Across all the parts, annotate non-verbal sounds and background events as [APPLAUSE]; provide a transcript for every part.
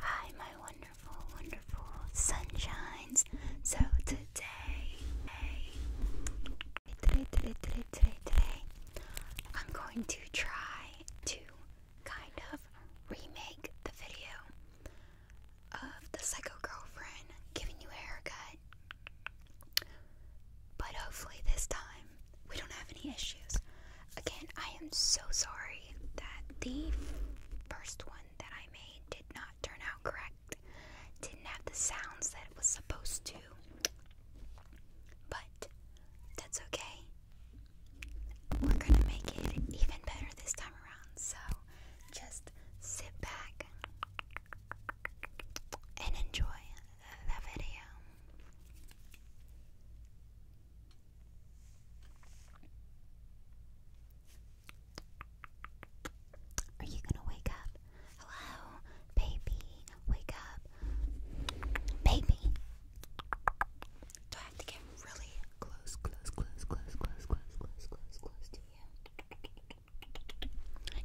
Hi, my wonderful, wonderful sunshines. So today, I'm going to try to kind of remake the video of the psycho girlfriend giving you a haircut. But hopefully, this time we don't have any issues. Again, I am so sorry that the first one that I made did not turn out correct. Didn't have the sounds that it was supposed to. But that's okay. We're gonna make it even better this time around. So just sit back and enjoy the video. Are you gonna wake up? Hello, baby, wake up. Baby. Do I have to get really close, close, close, close, close, close, close, close, close to you?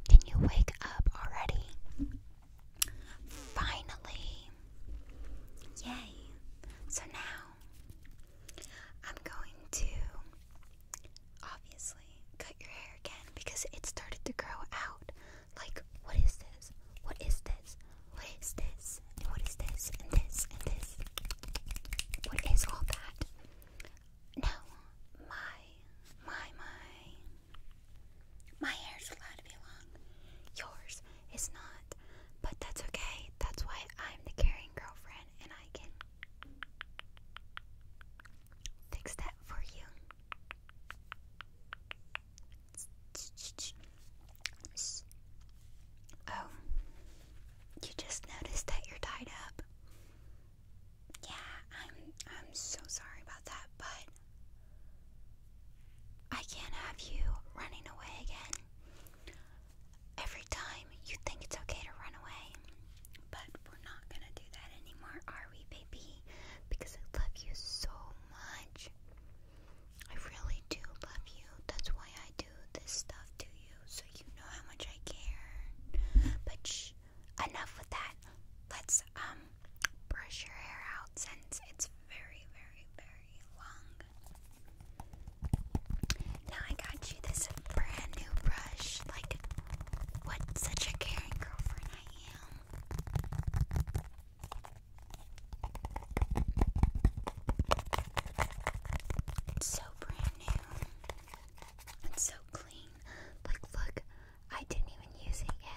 Can you wake up already? Finally. Yay! So now I'm going to obviously cut your hair again because it started to grow out. Like, what is this? What is this? What is this? And what is this? And this? And this? What is all that? Now, my, my, my, my hair's allowed to be long. Yours it's not, but that's okay. That's why I'm the caring girlfriend and I can fix that for you. Oh, you just noticed that you're tied up. Yeah, I'm I'm so sorry about that, but I can't have you running away again. Every time you think it's okay to run away. But we're not gonna do that anymore, are we, baby? Because I love you so much. I really do love you. That's why I do this stuff to you, so you know how much I care. But enough with that. Let's um brush your hair out since it's very, very, very long now I got you this brand new brush. Like, what such a caring girlfriend I am. It's so brand new. It's so clean. Like, look, I didn't even use it yet.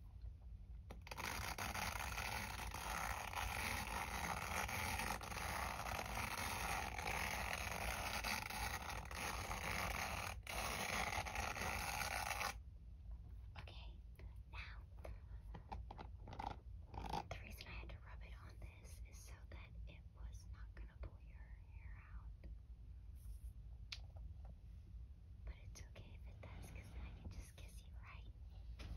Okay, now the reason I had to rub it on this is so that it was not going to pull your hair out. But it's okay if it does, I can just kiss you, right?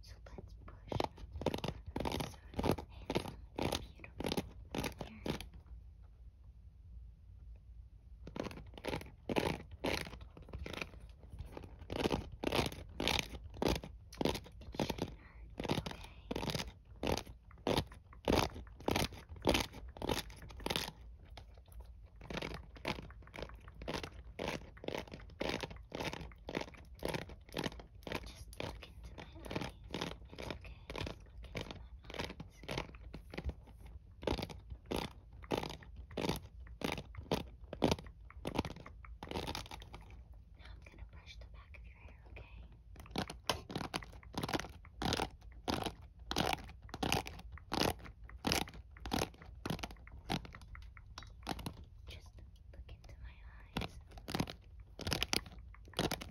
So let's push your handsome beautiful hair. It shouldn't hurt, okay? Just look into my eyes. It's okay. Just look into my eyes. Now I'm going to brush the back of your hair, okay? Just look into my eyes. Okay,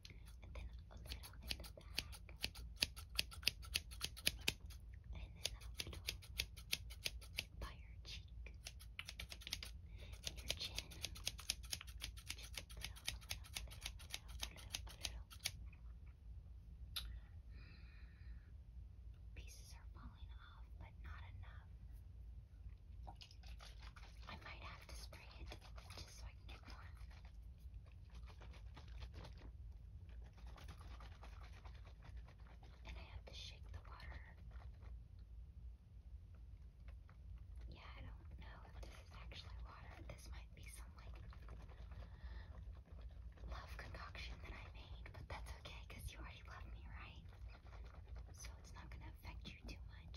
and then a little in the back, and then a little by your cheek and your chin. Pieces are falling off, but not enough. I might have to spray it just so I can get more. And I have to shake the water. Yeah, I don't know if this is actually water. This might be some like love concoction that I made, but that's okay because you already love me, right? So it's not gonna affect you too much.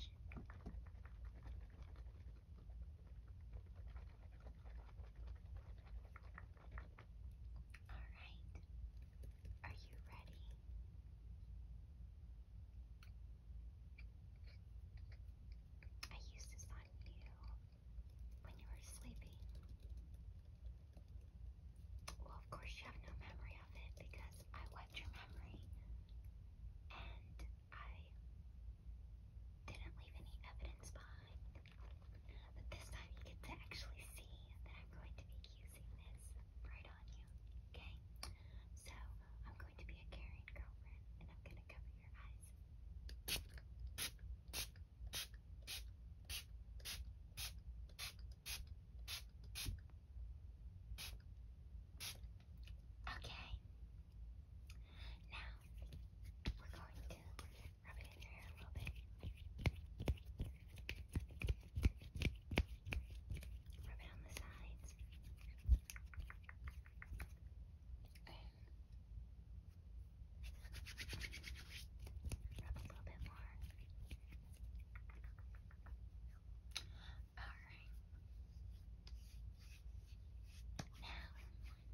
Alright, are you ready? I used this on you when you were sleeping. Well, of course, you have no memory of it because I wiped your memory and I didn't leave any evidence behind. Uh, but this time you get to actually see that I'm going to be using this right on you, okay? So, I'm going to be a caring girlfriend and I'm going to cover your eyes. Okay, Okay. Now we're going to rub it in your hair a little bit. Rub it on the sides. And rub a little bit more. Alright. I think I am going to maybe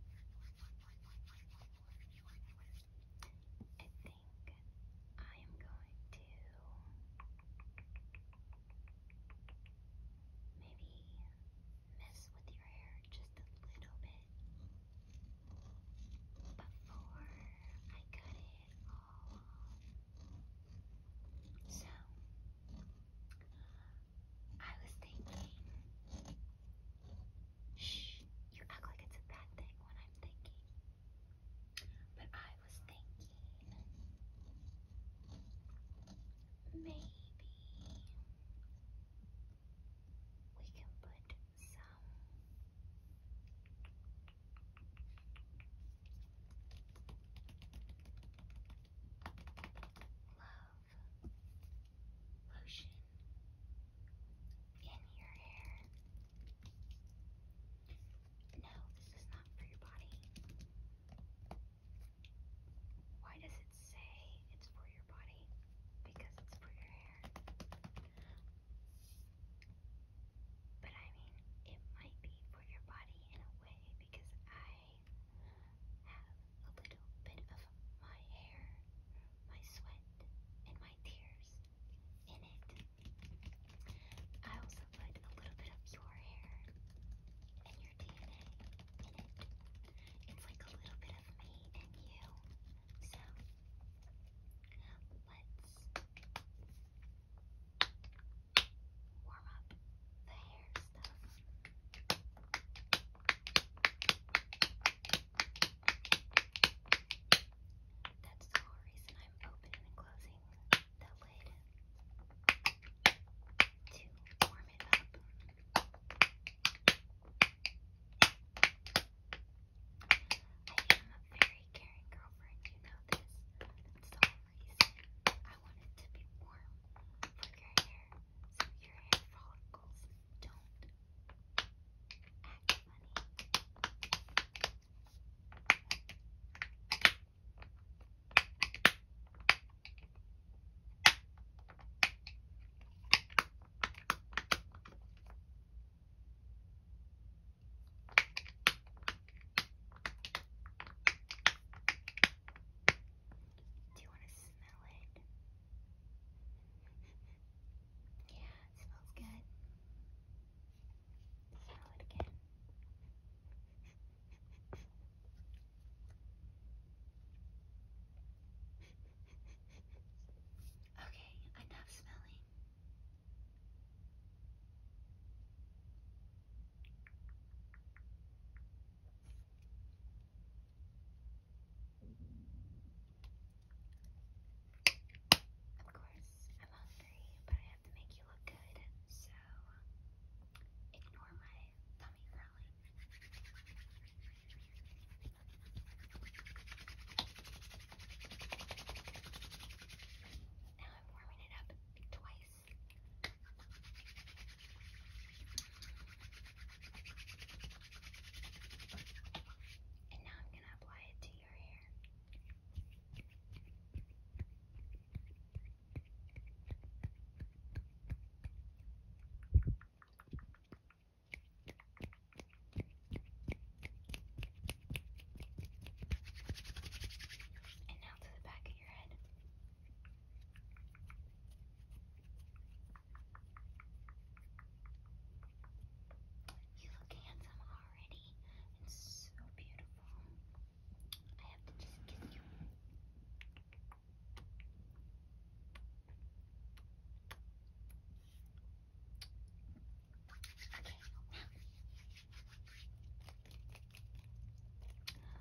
mess with your hair just a little bit before I cut it all So, I was thinking. Shh, you act like it's a bad thing when I'm thinking. But I was thinking. Maybe we can put some love lotion in your hair. No, this is not for your body. Why does it say it's for your body? Because it's for your hair. But I mean, it might be for your body in a way, because I have a little bit of my hair, my sweat, and my tears in it. I also put a little bit of your hair and your DNA in it. It's like a little bit of me and you. So, let's warm up the hairs stuff. That's the whole reason I'm opening and closing the lid to warm it up. I am a very caring girlfriend, you know this. That's the whole reason I want it to be warm for your hair hair so your hair follicles don't act funny. Do you want to smell it? [LAUGHS] Yeah, it smells good. Smell it again. Okay, enough smelling. Of course, I'm hungry, but I have to make you look good, so ignore my tummy growling. Now I'm warming it up twice and now I'm going to apply it to your hair. And now to the back of your head. You look handsome already and so beautiful. I have to just kiss you. Okay, now.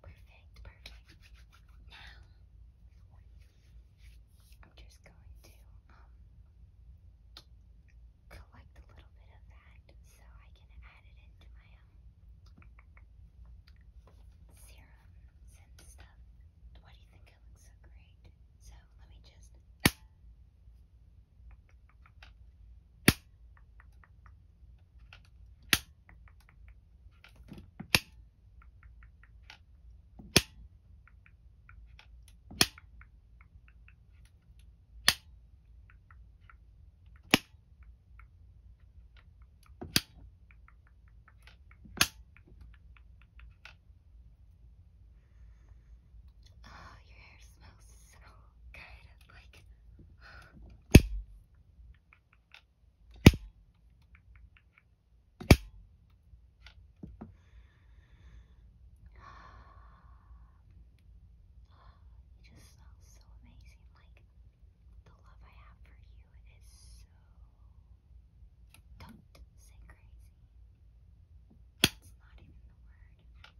Perfect, perfect. Now, I'm just going to um collect a little bit of that so I can add it into my um serums and stuff. Why do you think it looks so great? So let me just Okay, Oh, your hair smells so good. Like, it just smells so amazing. Like the love I have for you is so don't say crazy. That's not even the word.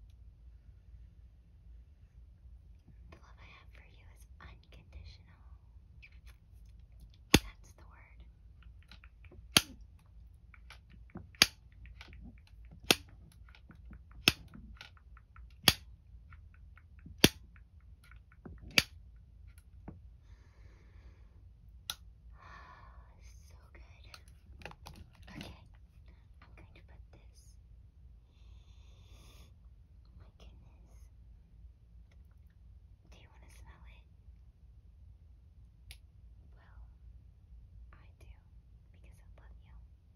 The love I have for you is unconditional. That's the word. [SIGHS] so good. Okay, I'm going to put this my goodness. Do you want to smell it? Well, I do because I love you.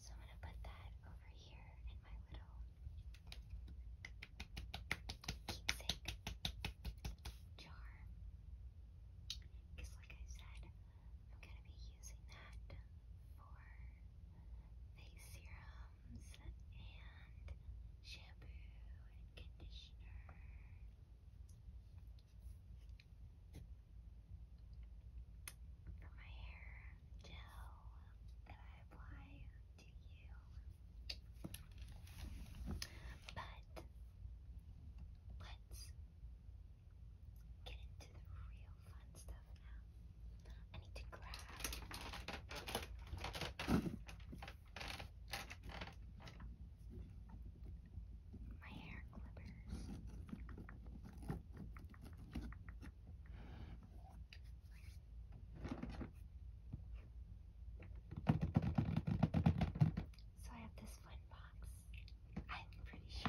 So I'm going to put that over here in my little keepsake jar. Because, like I said, I'm going to be using that for face serums and shampoo and conditioner. For my hair gel that I apply to you. But let's get into the real fun stuff now. I need to grab my hair clippers. So I have this fun box. I'm pretty sure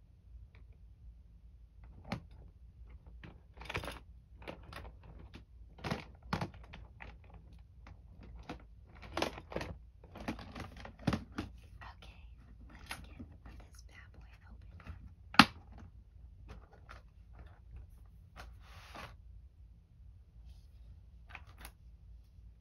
Okay, let's get this bad boy open.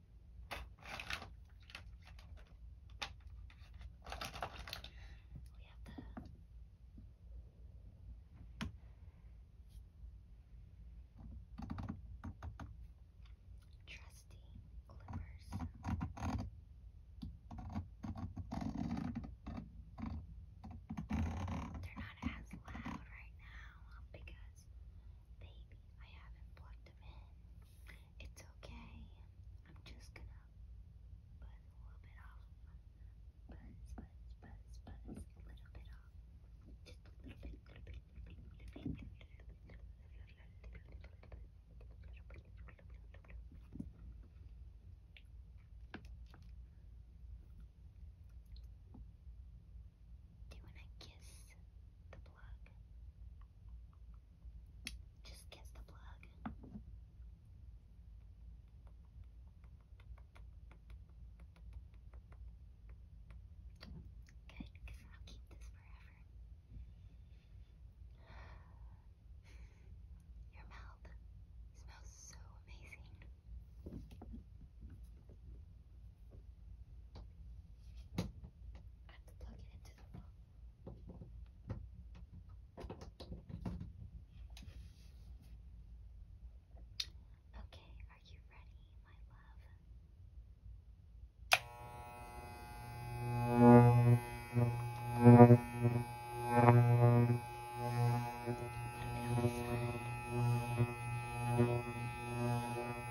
the trusty clippers. They're not as loud right now because Baby, I haven't plugged them in. It's okay. I'm just gonna buzz a little bit off. Buzz, buzz, buzz, buzz, a little bit off. Just a little bit, little bit, little bit, little bit, do you want to kiss the plug? Just kiss the plug. Good, I'll keep this forever. Your mouth smells so amazing. I have to plug it into the phone. Okay, are you ready, my love? Put it outside.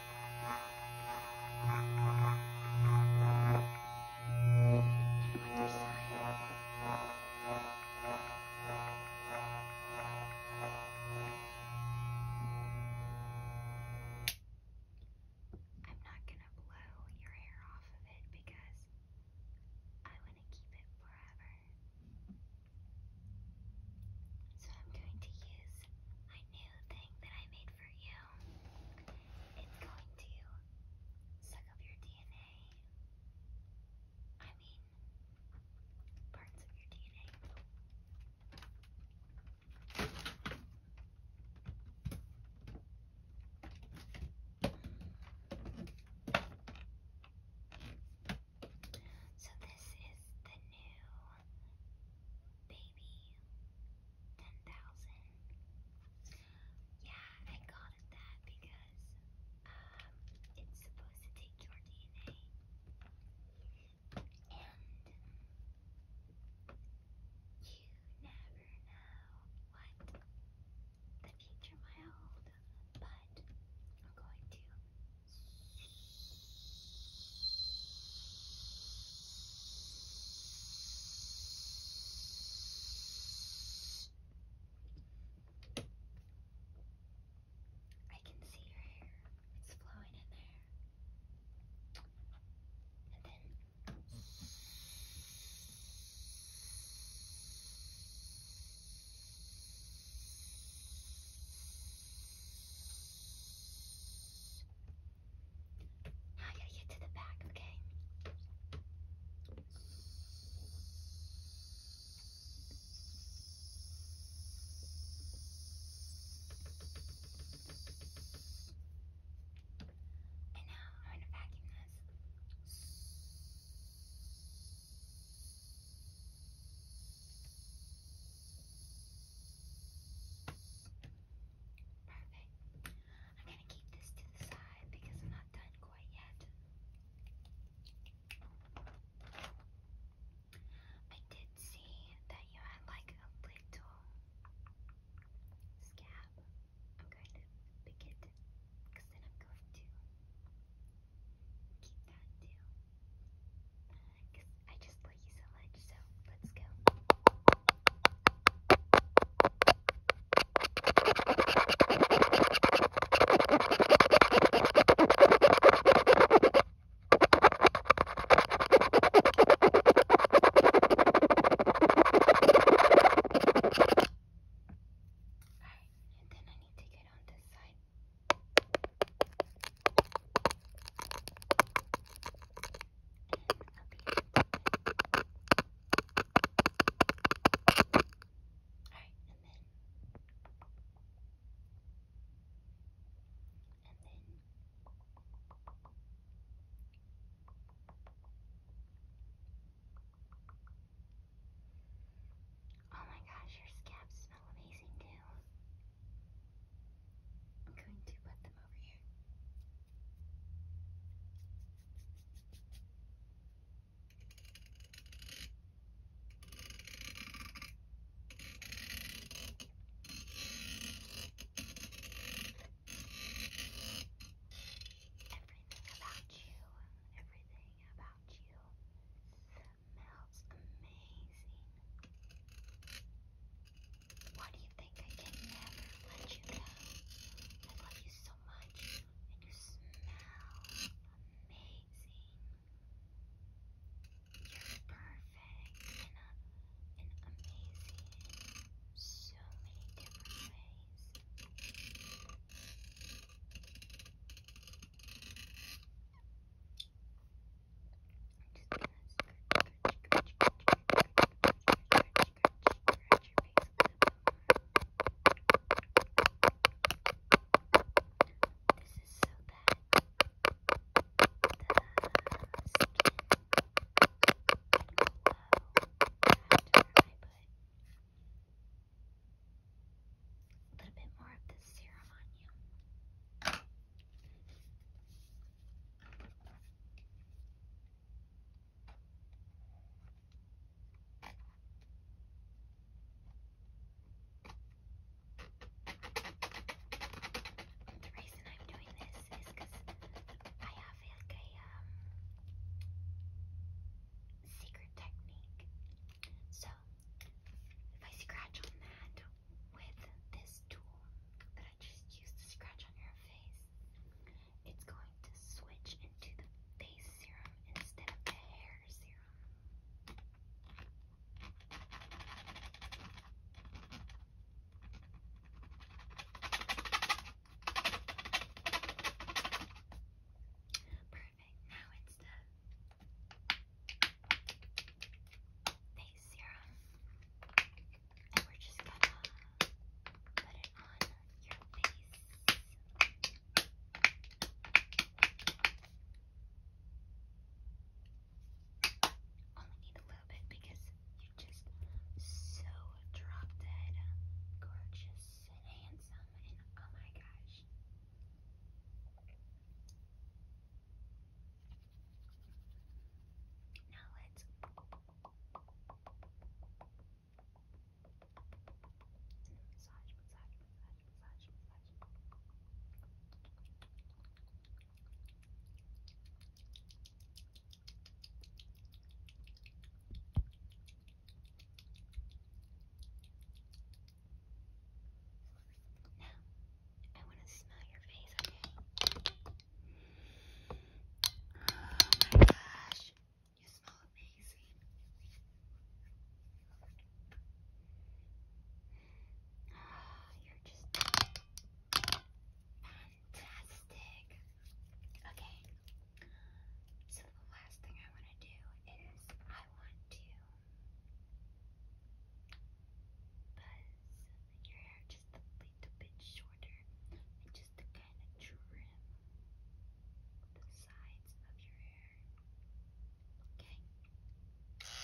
I'm not going to blow your hair off of it because I want to keep it forever. So I'm going to use my new thing that I made for you. It's going to suck up your DNA. I mean, parts of your DNA. So this is the new Baby, 10,000. Yeah, I called it that because um, it's supposed to take your DNA. And you never know what the future might hold, but I'm going to I can see your hair. It's flowing in there. And then now I gotta get to the back, okay? And now I'm gonna vacuum this. Perfect. I'm going to keep this to the side because I'm not done quite yet. I did see that you had like a little scab. I'm going to pick it because then I'm going to keep that too. Because I just love you so much, so let's go. Alright, and then I need to get on this side. Oh my gosh, your scabs smell amazing too. I'm going to put them over here. Everything about you, everything about you smells amazing. Why do you think I can never let you go? I love you so much, and you smell amazing. You're perfect in, a, in amazing so many different ways. A little bit more of this serum on you. The reason I'm doing this is because I have like a um, secret technique. So if I scratch on that with this tool that I just used to scratch on your face, it's going to switch into the face serum instead of the hair serum. Perfect. Now it's the face serum, and we're just gonna put it on your face. Only need a little bit because you're just so drop dead, gorgeous, and handsome, and oh my gosh. Now let's massage, massage, massage, massage, massage. Now now, I want to smell your face, okay? Oh my gosh, you smell amazing. Oh, you're just fantastic. Okay, so the last thing I want to do is I want to Buzz your hair just a little bit shorter and just to kind of trim the sides of your hair. Okay. Okay.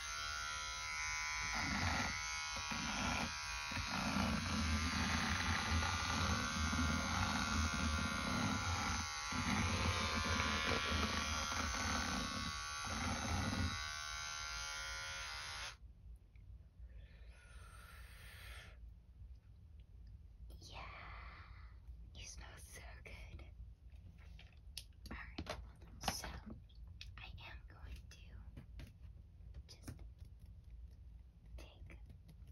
Yeah, you smell so good. Alright, so I am going to just take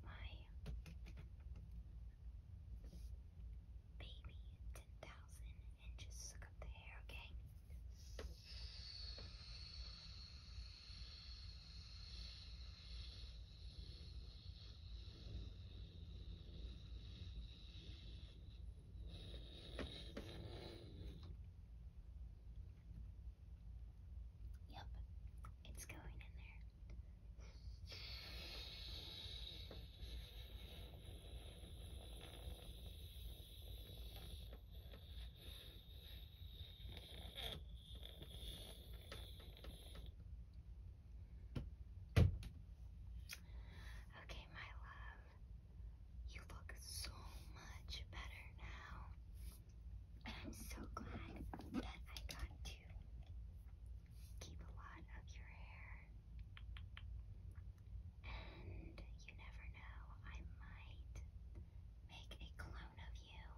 my um, baby 10,000 and just suck up the hair, Okay, Yep, it's going in there. Okay, my love. You look so much better now. And I'm so glad that I got to keep a lot of your hair. And you never know, I might make a clone of you.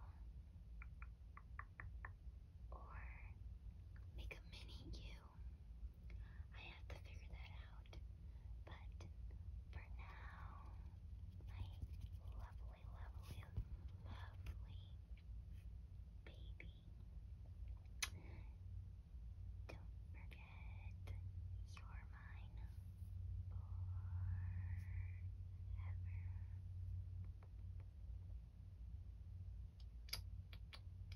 Or make a mini you. I have to figure that out. But for now, my lovely, lovely, lovely baby. Don't forget, you're mine forever.